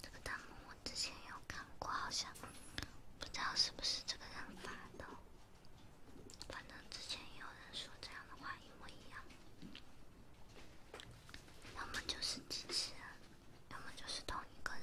这个弹幕我之前有看过，好像。不知道是不是这个人发的，反正之前也有人说这样的话一模一样，要么就是机器人，要么就是同一个人。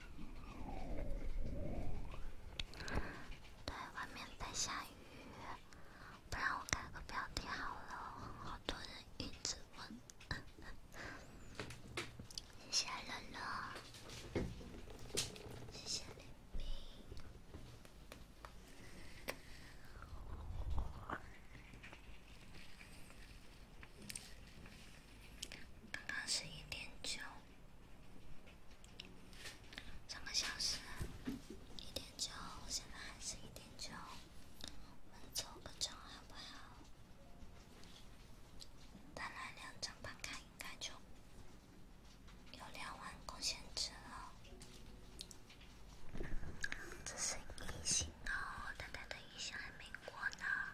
对，外面在下雨，不然我改个标题好了。好多人一直问，谢谢乐乐，谢谢林冰。刚刚十一点九，三个小时，一点九现在还是一点九，我们走二张好不好？再来两张牌卡，应该就有两万贡献值了。这是一星哦，等等的一星还没过呢。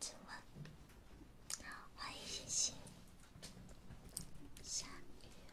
提问，欢迎星星，下雨了。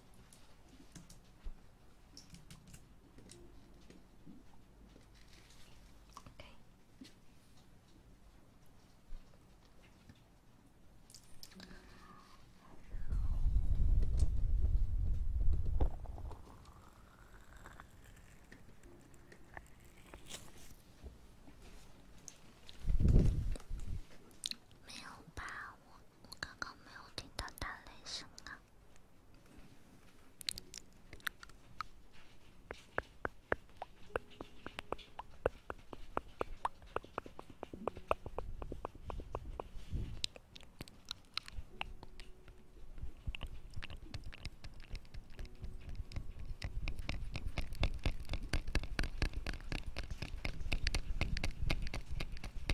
没有把握。我刚刚没有听到打雷声啊。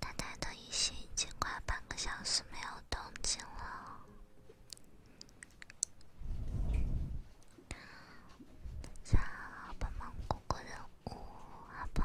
他抬头一醒，已经快半个小时没有动静了。想把蒙古国的乌拉巴。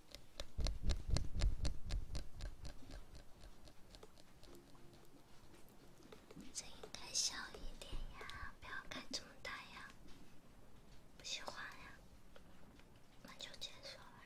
这应该小一点呀，不要开这么大呀，不喜欢呀，那就结束了。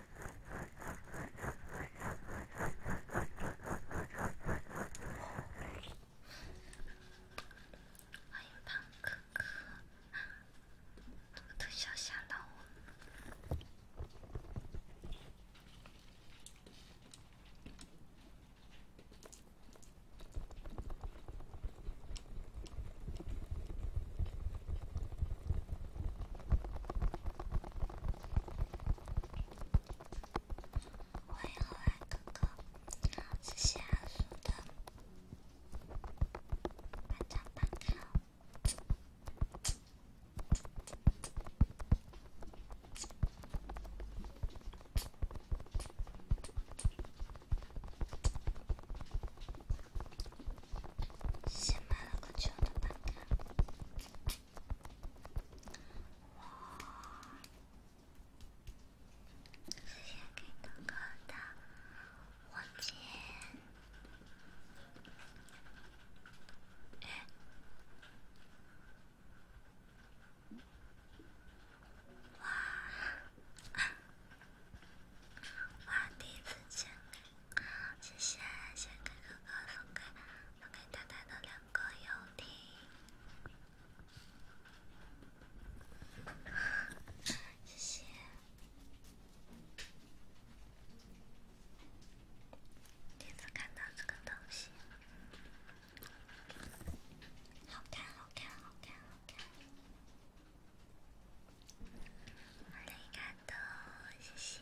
欢迎胖可可，这个特效吓到我了。喂，可爱哥哥，谢谢大叔的办卡办卡，买了个旧的办卡。我之前给哥哥的黄金，哇哇第一次见。谢谢，谢谢给哥哥送给送给太太的两个游艇。谢谢，第一次看到这个东西，好看，好看，好看，好看。谢谢。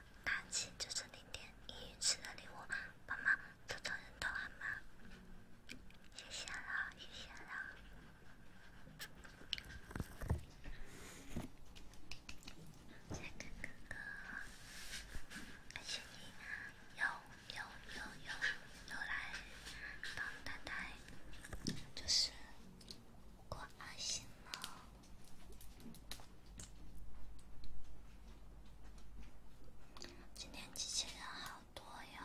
拿起就是零点一吃的礼物，帮忙凑凑人头好吗？谢谢了，谢谢了。杰克哥哥，谢谢你，又又又又又来帮太太，就是过开心了。今天机器人好多哟。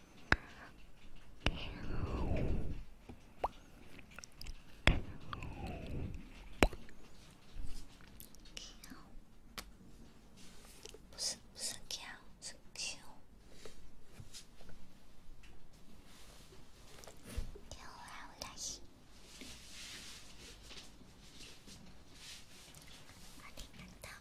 喵，喵，喵，不是不是，喵，是喵，喵啊，乌拉西，阿丁卡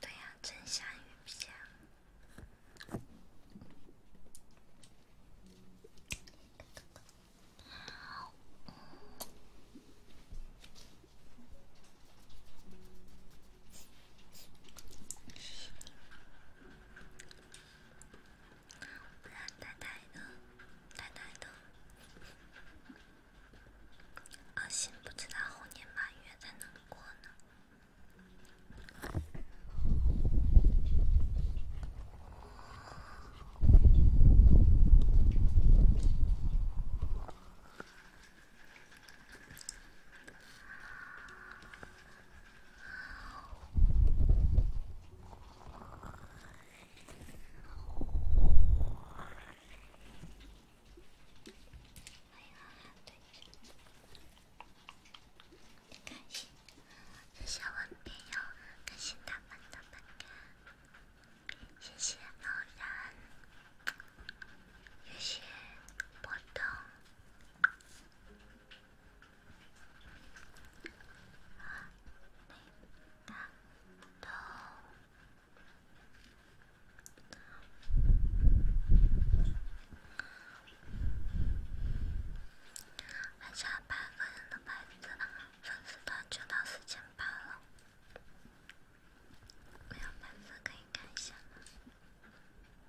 对呀，真相与假。老太太的，老太太的，阿心不知道猴年马月才能过呢。小文，别要感谢他们的勇敢，谢谢老冉，有些不懂。晚上八个人的牌子，粉丝团就到四千八了。没有牌子可以看一下。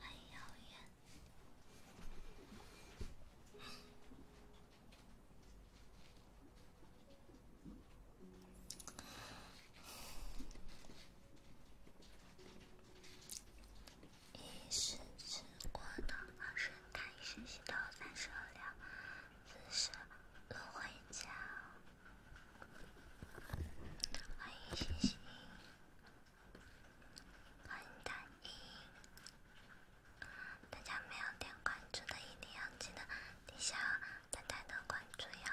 欢迎妖艳。一时只管东，转身开始西头三十二两。此时落回家。欢迎星星。欢迎大家！大家没有点关注的一定要记得底下点点的关注哟。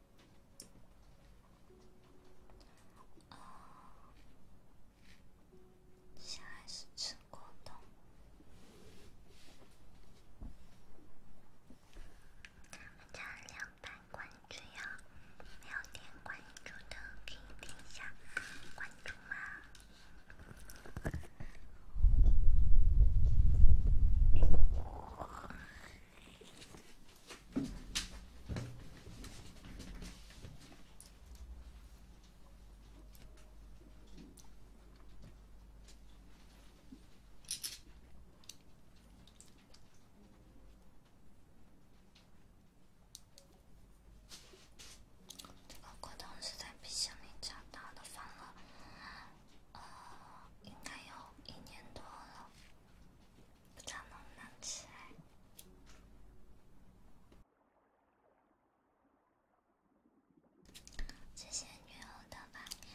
哦，现在是吃果冻。加两百关注呀！没有点关注的可以点一下关注吗？这个果冻是在冰箱里长大的，放了呃，应该有一年多了。不知道能不能吃。谢谢女友的晚安。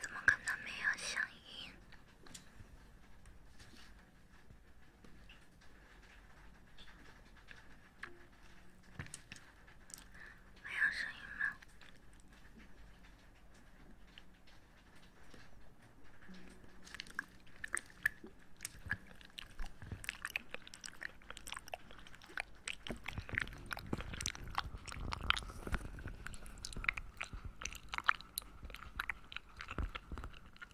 怎么可能没有响应？没有声音吗？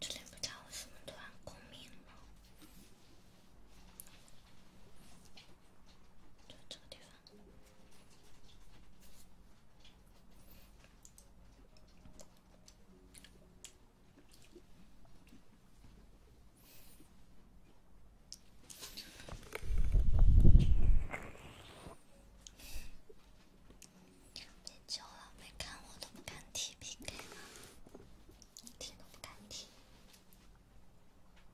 最近不查，我们都还过敏了，就这个地方。练久了没看我都不敢提 PK 了，一提都不敢提。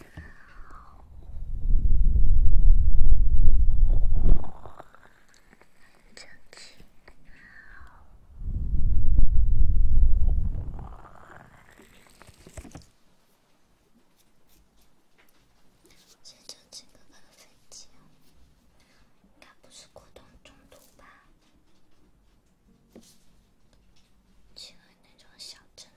这几个飞机，应该不是过冬中途吧？去那种小镇。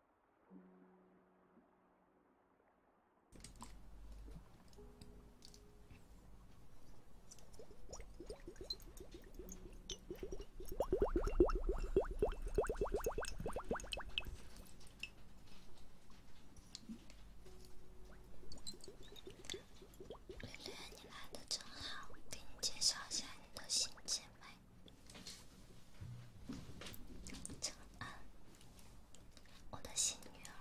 玲好，给你介绍下你的新姐妹。啊，我的新女儿，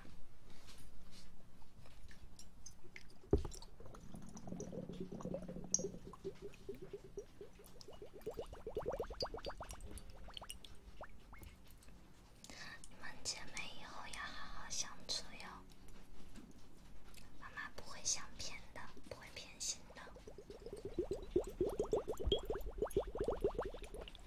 你们姐妹以后要好好相处哟。妈妈不会相偏的，不会偏心的。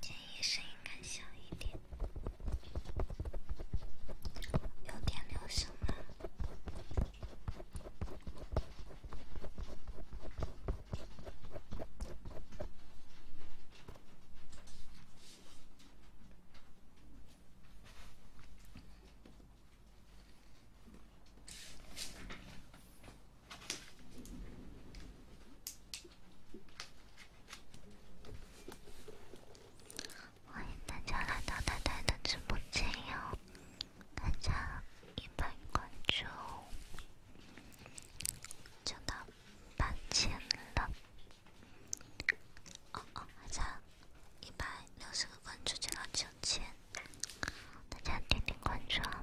建议声音开小一点，有点留声了。欢迎大家来到太太的直播间哟！大家一百关注就到八千了。哦哦，还差一百六十个关注就能挣钱，大家点点关注啊！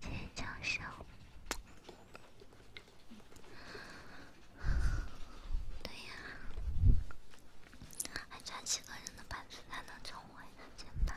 天降小，对呀，还差几个人的班子才能成为全班。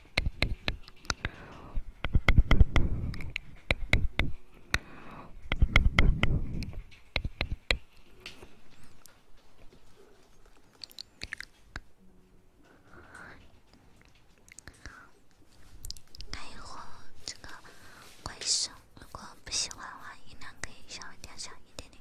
看一会儿这个怪声，如果不喜欢的话，音量可以稍微调小一点点。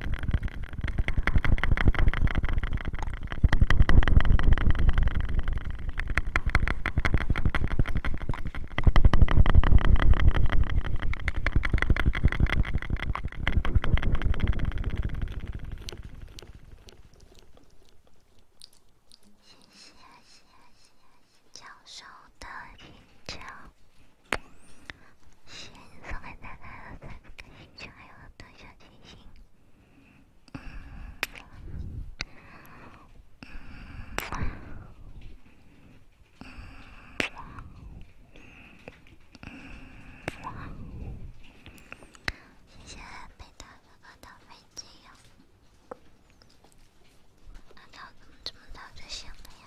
谢谢谢谢谢谢教授的评价。先送给奶奶了，才不开心。小朋友的小星星。嗯，嗯，嗯，嗯，谢谢北岛哥哥的飞机哟。他怎么这么早就醒了呀？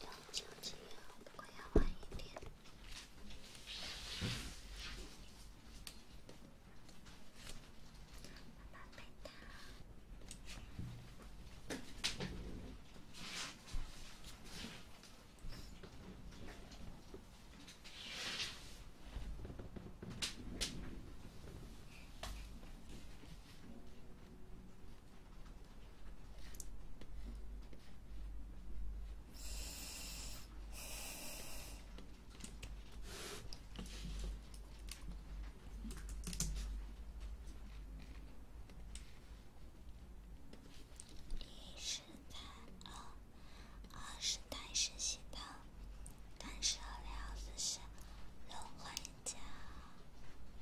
幺九七幺，我要晚一点。妈妈陪他。第一形态二二是单生形态，单生的六幺四四轮回。加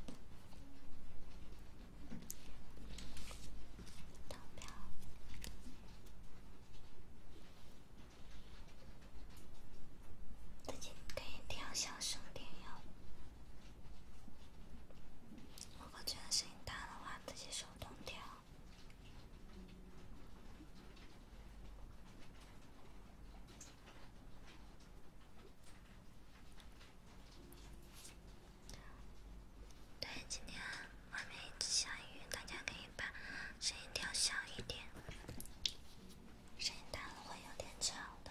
投票，自己可以调小声点哟。如果觉得声音大的话，自己手动调。对，今天外面一直下雨，大家可以把声音调小一点，声音大了会有点吵的。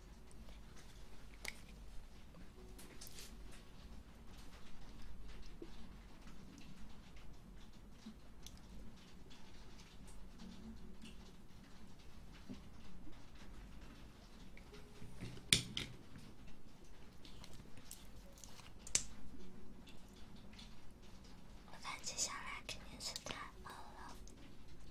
我看接下来肯定是太饿了。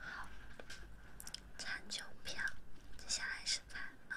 好，长九票，接下来是长梦。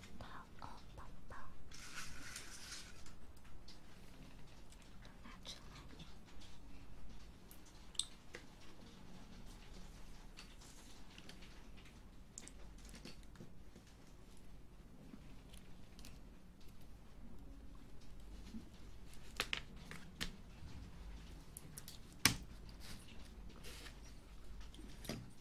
包哦，包包都拿出来。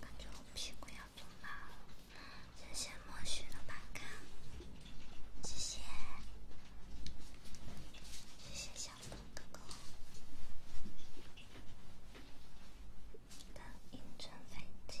感觉我屁股要肿了。谢谢莫须的观看，谢谢，谢谢小风哥哥的应援飞机。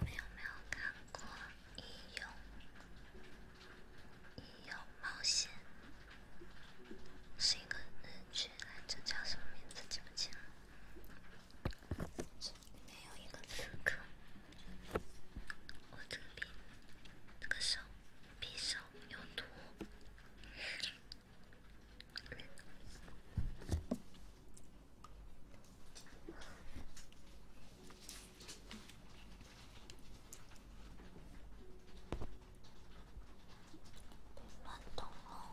没有没有看过《义勇》，《冒险》是一个日剧，来着叫什么名字记不清了。里面有一个刺客，握着匕，那个手，匕首。有毒。乱动哦。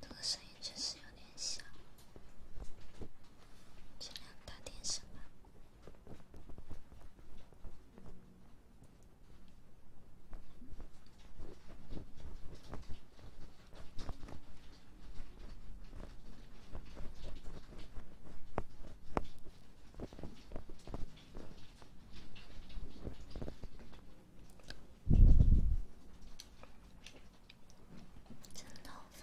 这个声音确实有点小，尽量大点声吧。真讨厌。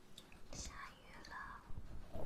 下雨了。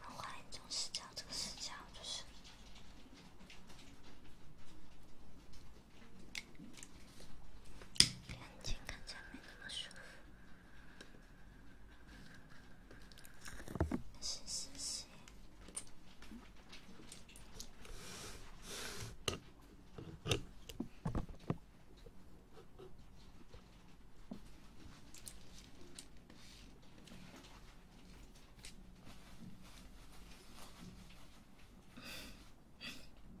我怀疑这是叫这个视角，就是眼睛看着没那么舒服，但是谢谢。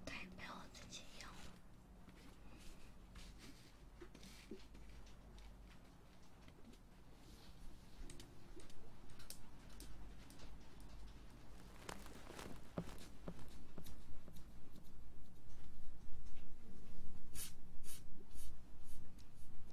对，被我自己用。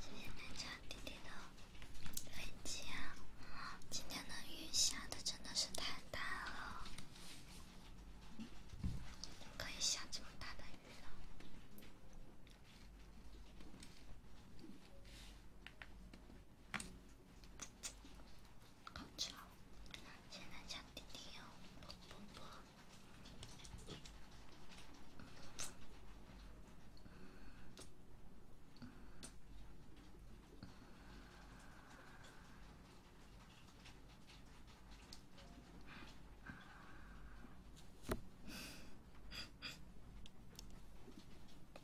今天南昌滴滴的飞机啊，今天的雨下的真的是太大了，可以下这么大的雨了。好吵！现在讲弟弟哦，不不不。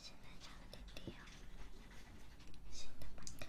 现在差了点低啊，新的版本。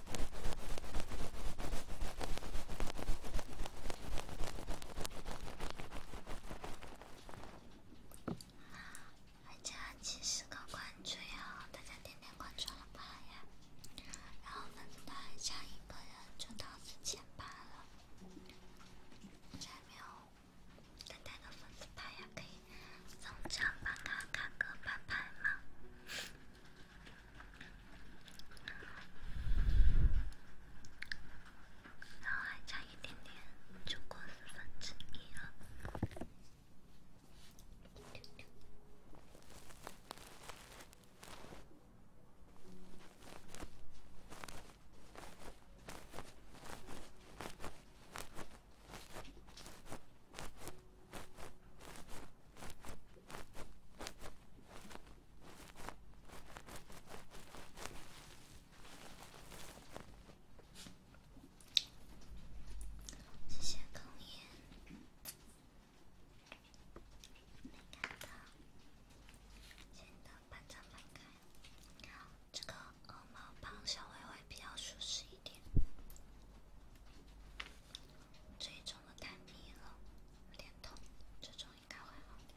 大家及时关注哟！大家点点关注了吧呀？然后我们的下一个人就到四千八了，还没有。等待的粉丝牌呀，可以送张马卡卡哥牌牌吗？然后还差一点点，就过十分钟了。谢谢康爷，没看到，新的班长没开，这个鹅毛棒稍微会比较舒适一点。这一种我太腻了，有点痛，这种应该会好点。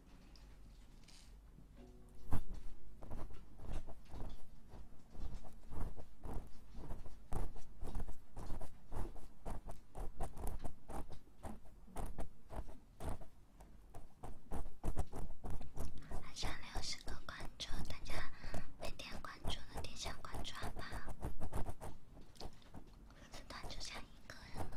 还差六十个关注，大家没点关注的点下关注吧，只剩关注下一个人了。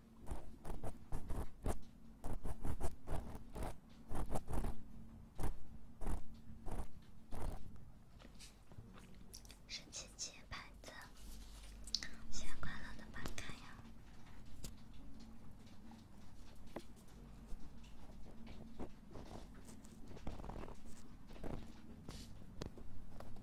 是七七牌子，新年快乐的马开呀！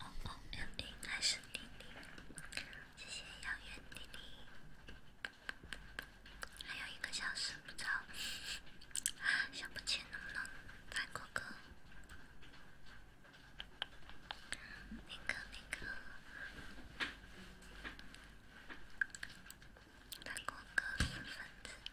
哦哦，玲玲还是玲玲，谢谢遥远玲玲。还有一个小时，不知道想不起能不能弹过歌，那个那个弹过歌四分之。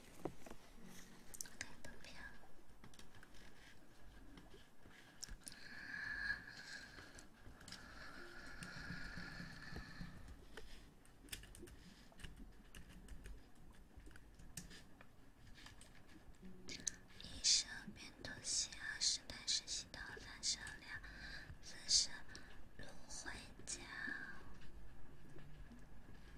一升变东西，二十单水洗头，三十两，四十芦荟胶。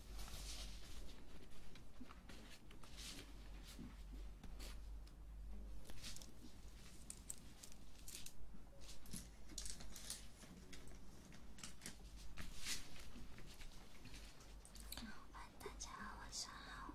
欢迎大家，晚上好。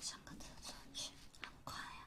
上个厕所去，很快呀。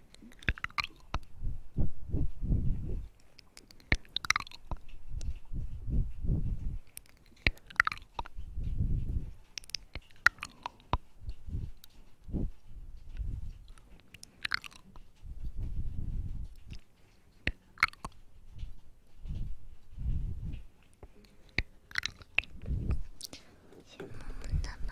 羡慕的吧你？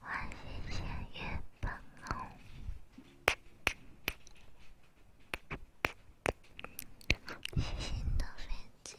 唤醒夜半梦，心的纷争。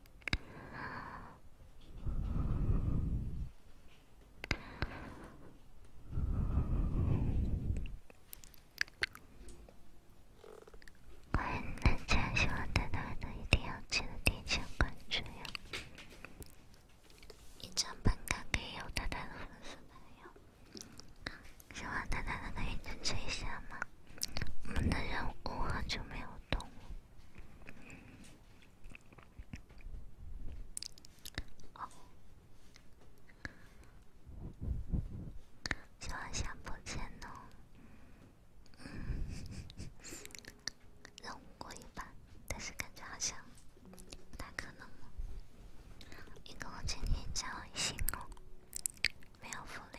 欢迎大家，希望大家能一定要记得提前关注哟。一张本该给有大家的粉丝朋友，希望大家能能认真追一下吗？我们的任务很久没有动。哦，希望下播前能，嗯，任务过一半，但是感觉好像不大可能。一共今天加了一星哦，没有福利。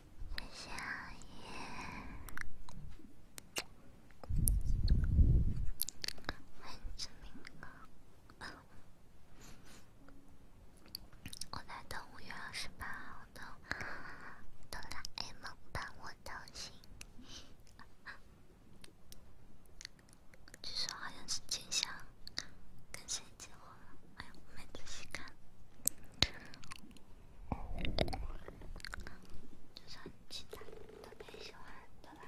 夏夜，万众民歌。我在等五月二十号的《哆啦 A 梦伴我同行》，据说好像是静香跟谁结婚。哎，我没仔细看，就是很期待，特别喜欢的吧？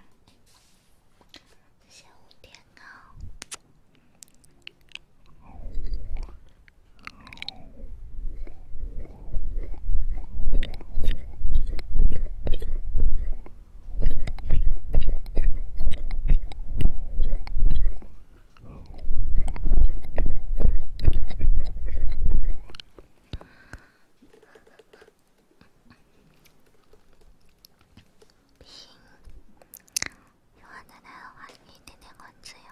下午点到。平，喜欢奶奶的话，点点关注哟。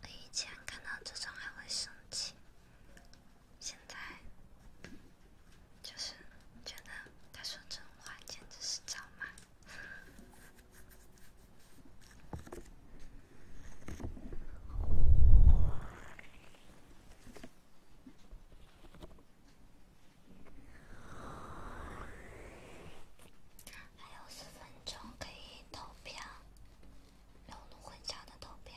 我以前看到这种还会生气，现在就是觉得他说这种话简直是脏话。还有十分钟可以投票。融入混响的投票。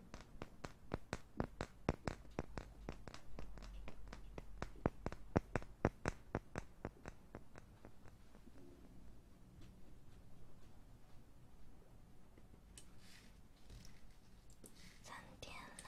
三点了。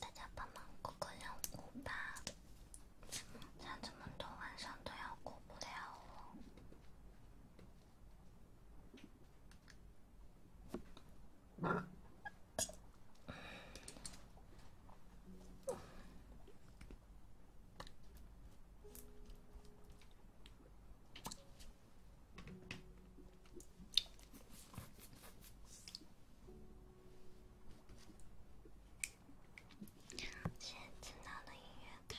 大家帮忙过个任务吧，想这么多晚上都要过不了了。先听到的音乐卡。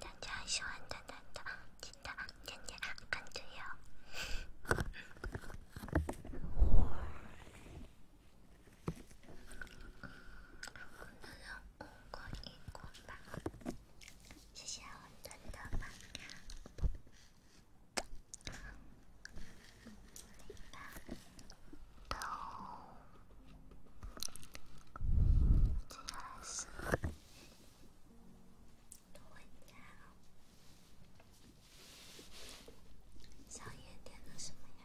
大家喜欢蛋蛋的，记得点点关注哟。我们的任务过一过吧，谢谢我的头发。都这样式。回家了。小叶点的什么呀？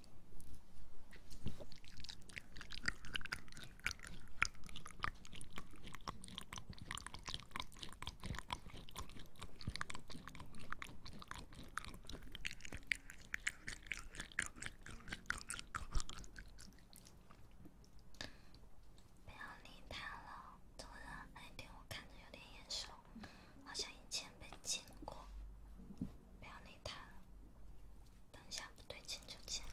不要理他了。突然，那点我看着有点眼熟，好像以前被见过。不要理他了。等下不对劲就剪了。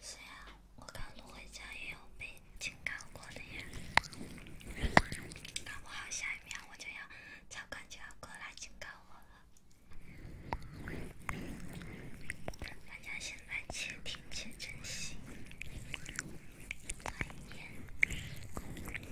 谁啊？我感觉我家也有被警告过的呀，搞不好下一秒我就要，超管就要过来警告我了。大家现在且听且珍惜。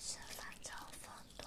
是反照峰多。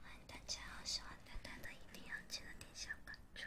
欢迎大家，喜欢丹丹的一定要记得点下关注。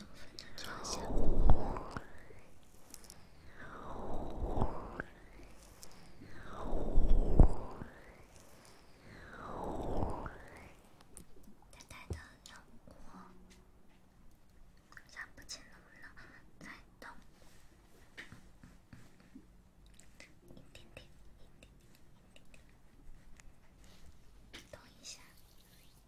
淡淡的轮廓，看不清能不能再动一点点，一点点，动一下。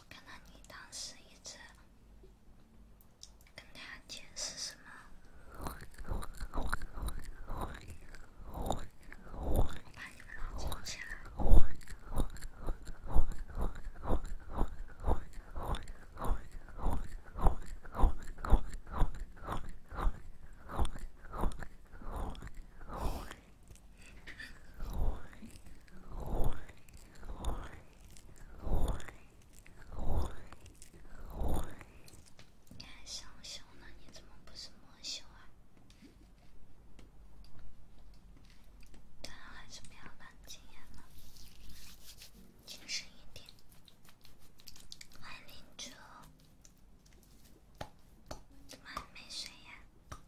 我看到你当时一直跟他解释什么？你还上修呢？你怎么不是魔修啊？最好还是不要打经验了，谨慎一点。欢迎林州，怎么还没睡呀？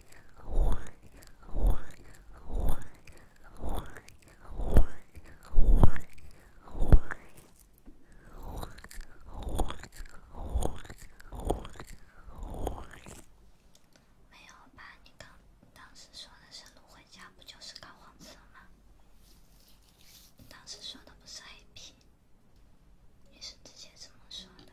没有吧？你刚当时说的是路回家，不就是高黄色吗？你当时说的不是黑皮，你是之前怎么说的？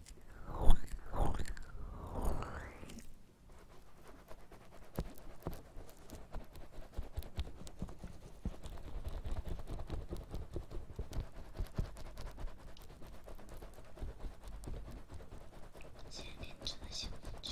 小圈。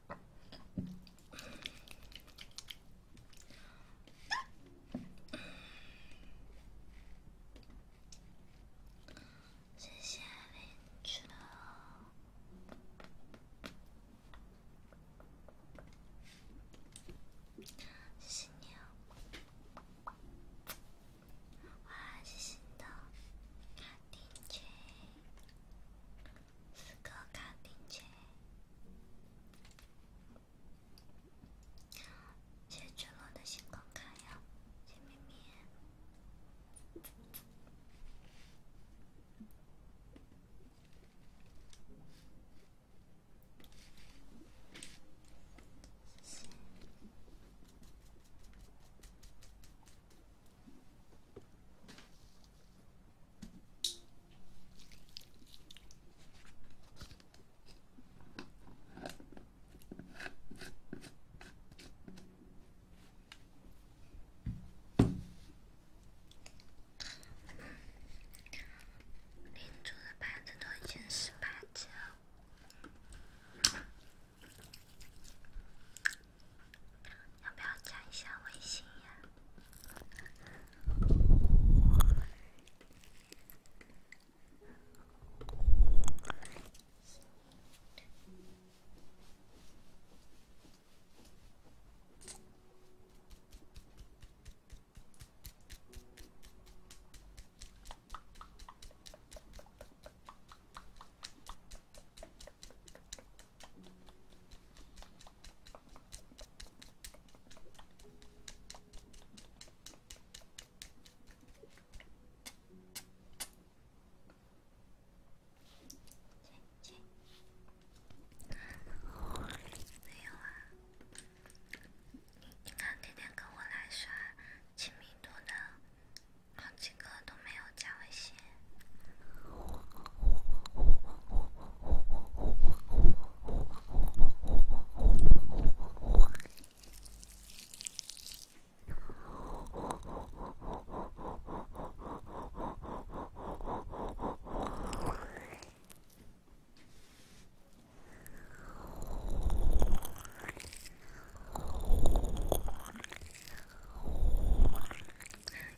谢谢林州，谢谢你哦，哇，谢谢的，丁姐。四个卡丁车，谢晨洛的星光卡呀，谢咪咪。邻桌的盘子都已经十八九。要不要加一下微信呀？没有啊，你你看天天跟我来刷，亲密度的。好几个都没有加微信。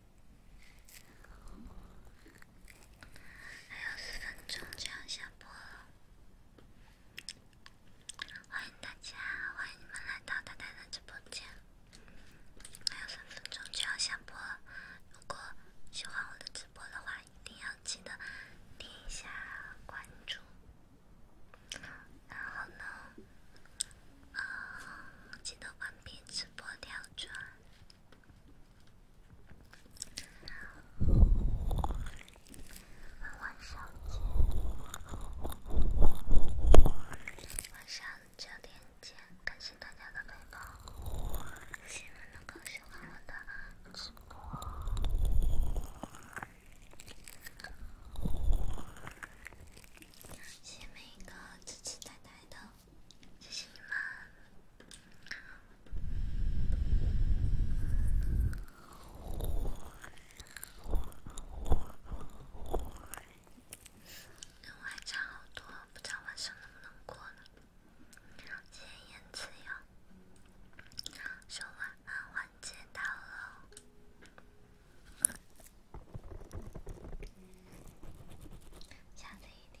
还有十分钟就要下播了，欢迎大家，欢迎你们来到丹丹的直播间。还有十分钟就要下播，如果喜欢我的直播的话，一定要记得点一下关注。然后呢，嗯，记得关闭直播跳转。晚上，晚上九点见。感谢大家的陪伴，谢谢每一个喜欢我的主播，谢谢每一个支持奶奶的。谢谢你们。那我还差好多，不知道晚上能不能过了。接言辞哟，说晚安，我接到了。下次一定。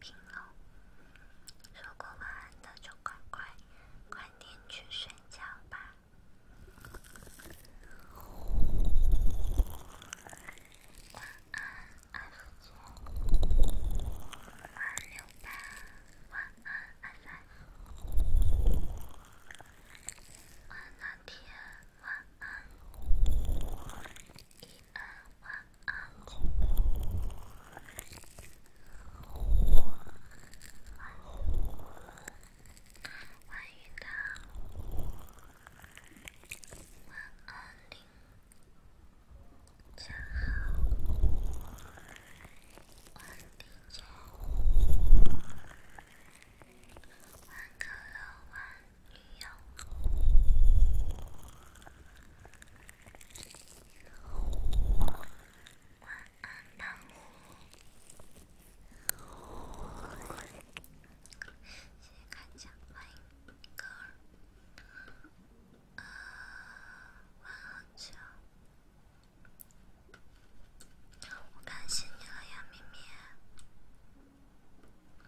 平喽，如果晚安的就快快快点去睡觉吧。晚安，二九二六八，晚安，二三，晚安天，晚安，一二晚安九。万云涛，万二零，加号，万丁九，万可乐，万女友。晚安，胖虎。谢谢看见，欢迎高二。啊，晚安。我感谢你了呀，咪咪。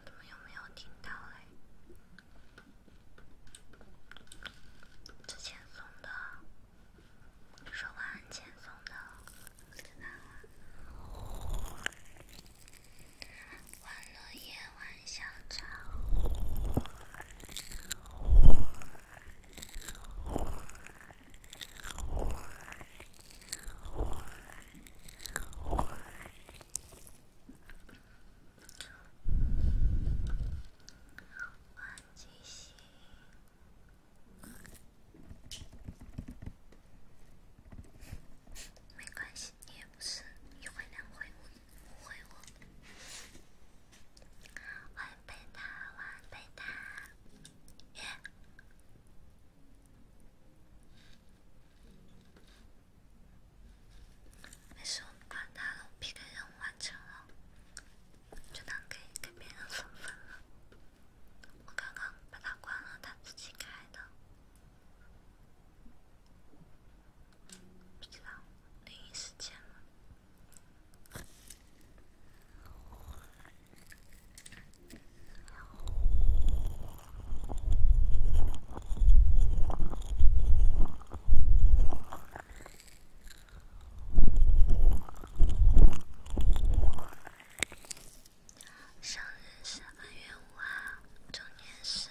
你们有没有听到嘞？之前送的，你说完之前送的，真的啊。没关系，你也不是一回两回误误会我。晚安贝塔，晚安贝塔。没事，我不管他了，我 P K 任务完成了。就他可以跟别人分分了，我刚刚把他关了，他自己开的，不知道另一时间了。生日是八月五号，周年是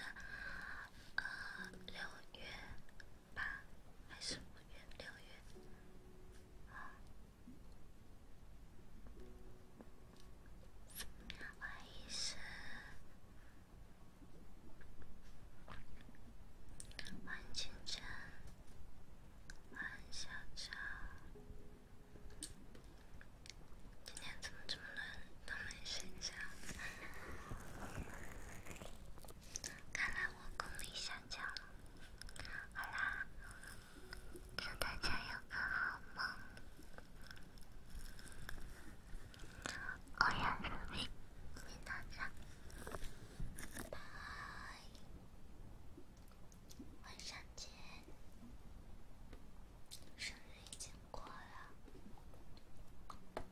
呃六月八，还是五月六月啊？怀疑是。万清晨，万小超，今天怎么这么多人都没睡觉？看来我功力下降了。好啦，祝大家有个好梦。おやすみ、みなさん。拜，晚上见。生日已经过了，我怎么没看？